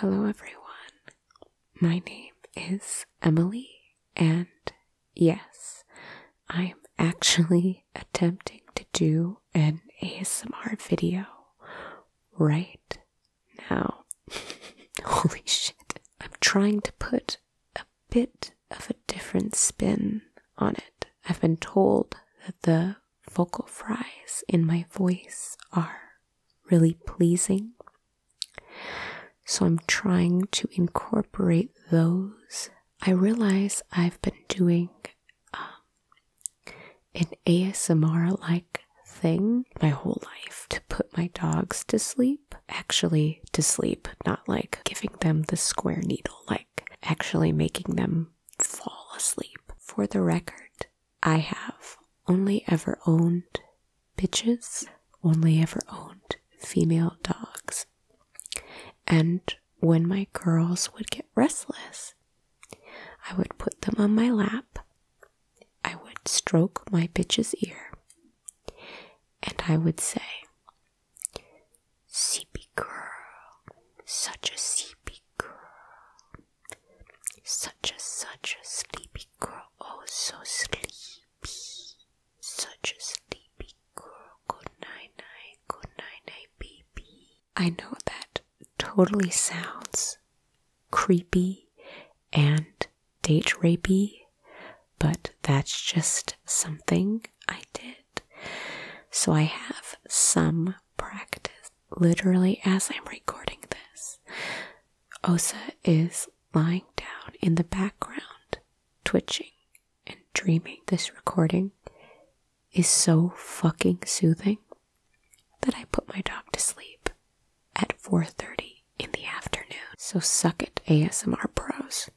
Hello, everyone. My name is Emily, and yes, I'm actually attempting to do an ASMR video right now. Holy shit. I'm trying to put a bit of a different spin on it. I've been told that the vocal fries in my voice are really pleasing. So I'm trying to incorporate those. I realize I've been doing um, an ASMR like thing my whole life to put my dogs to sleep. Actually, to sleep, not like giving them the square needle, like actually making them fall asleep. For the record, I have only ever owned bitches, only ever owned female dogs. And when my girls would get restless, I would put them on my lap, I would stroke my bitch's ear, and I would say, Sleepy girl, such a sleepy girl, such a such a sleepy girl, oh so sleepy, such a sleepy girl. Good night, night, good night, night, baby. I know that totally sounds creepy and date rapey, but that's just something I did. So I have some practice. Literally, as I'm recording this, Osa is lying down in the background, twitching and dreaming. This recording is so fucking soothing that I put my dog to sleep at 4:30 in the afternoon. So suck it ASMR pros.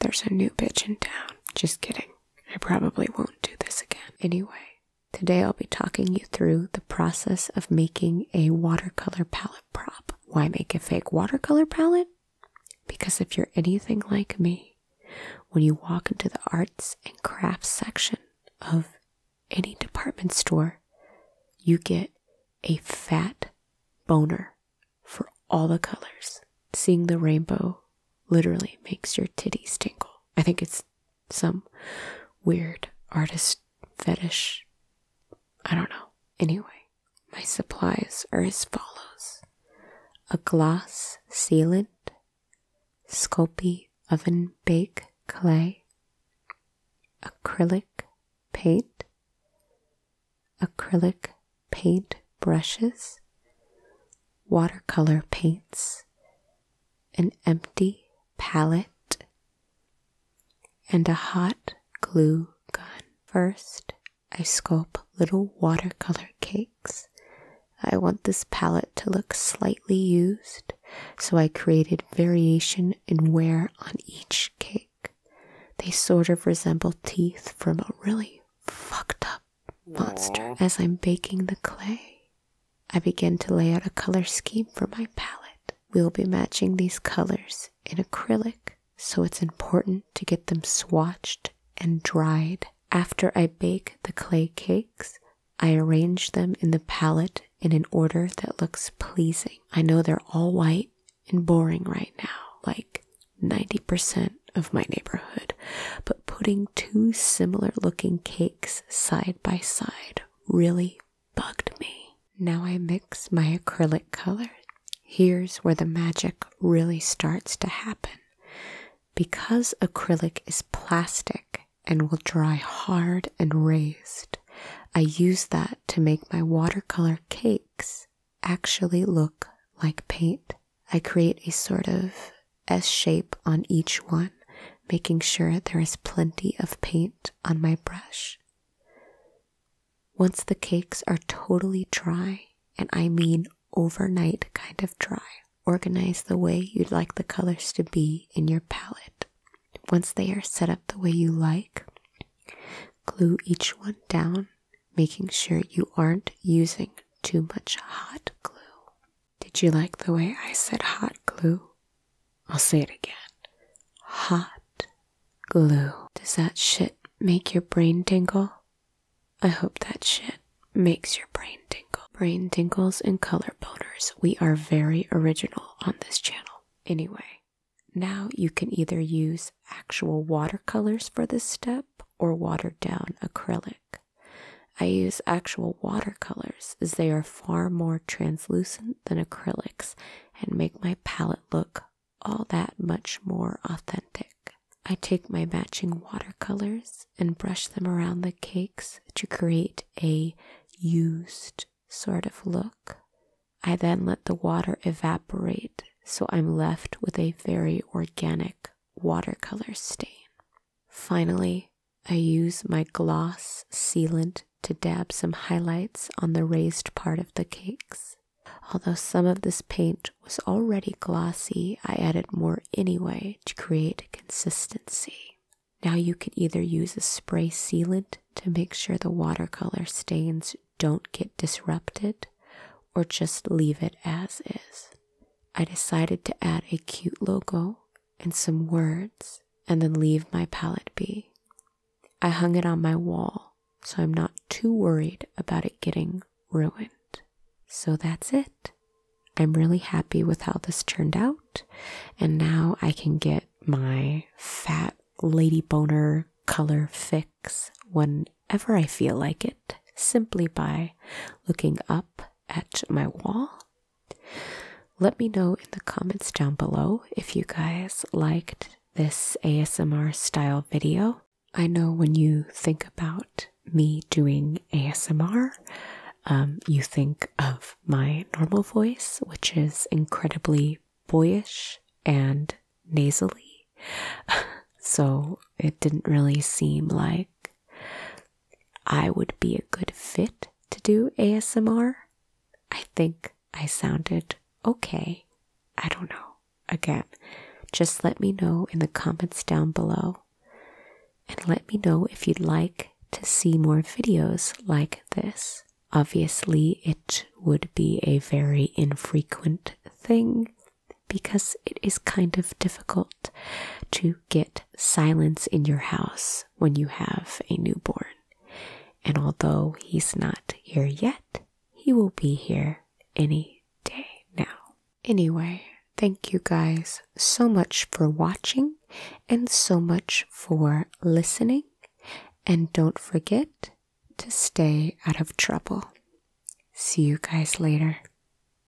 There's a new bitch in town. Just kidding. I probably won't do this again. Anyway, today I'll be talking you through the process of making a watercolor palette prop. Why make a fake watercolor palette? Because if you're anything like me, when you walk into the arts and crafts section of any department store, you get a fat boner for all the colors. Seeing the rainbow literally makes your titties tingle. I think it's some weird artist fetish. I don't know. Anyway, my supplies are as follows a gloss sealant, Sculpey oven bake clay, acrylic paint, acrylic paint brushes, watercolor paints, an empty palette, and a hot glue gun. First, I sculpt little watercolor cakes. I want this palette to look slightly used, so I created variation in wear on each cake. They sort of resemble teeth from a really fucked up monster as I'm baking the clay. I begin to lay out a color scheme for my palette. We will be matching these colors in acrylic, so it's important to get them swatched and dried. After I bake the clay cakes, I arrange them in the palette in an order that looks pleasing. I know they're all white and boring right now, like 90% of my neighborhood, but putting two similar looking cakes side by side really bugged me. Now I mix my acrylic color. Here's where the magic really starts to happen. Because acrylic is plastic and will dry hard and raised, I use that to make my watercolor cakes actually look like paint. I create a sort of S shape on each one, making sure there is plenty of paint on my brush. Once the cakes are totally dry, and I mean overnight kind of dry, organize the way you'd like the colors to be in your palette. Once they are set up the way you like, glue each one down, making sure you aren't using too much hot glue. Did you like the way I said hot glue? I'll say it again. Hot glue. Does that shit make your brain tingle? I hope that shit makes your brain tingle. Brain tingles and color boners. We are very original on this channel. Anyway, now you can either use actual watercolors for this step or watered down acrylic. I use actual watercolors as they are far more translucent than acrylics and make my palette look all that much more authentic. I take my matching watercolors and brush them around the cakes to create a used sort of look. I then let the water evaporate so I'm left with a very organic watercolor stain. Finally, I use my gloss sealant to dab some highlights on the raised part of the cakes. Although some of this paint was already glossy, I added more anyway to create consistency. Now you can either use a spray sealant to make sure the watercolor stains don't get disrupted, or just leave it as is. I decided to add a cute logo and some words and then leave my palette be. I hung it on my wall, so I'm not too worried about it getting ruined. So that's it. I'm really happy with how this turned out, and now I can get my fat lady boner color fix whenever I feel like it simply by looking up at my wall. Let me know in the comments down below if you guys liked this ASMR style video. I know when you think about me doing ASMR, um, you think of my normal voice, which is incredibly boyish and nasally. so it didn't really seem like I would be a good fit to do ASMR. I think I sounded okay. I don't know. Again, just let me know in the comments down below and let me know if you'd like to see more videos like this. Obviously, it would be a very infrequent thing because it is kind of difficult to get silence in your house when you have a newborn. And although he's not here yet, he will be here any day now. Anyway, thank you guys so much for watching and so much for listening. And don't forget to stay out of trouble. See you guys later.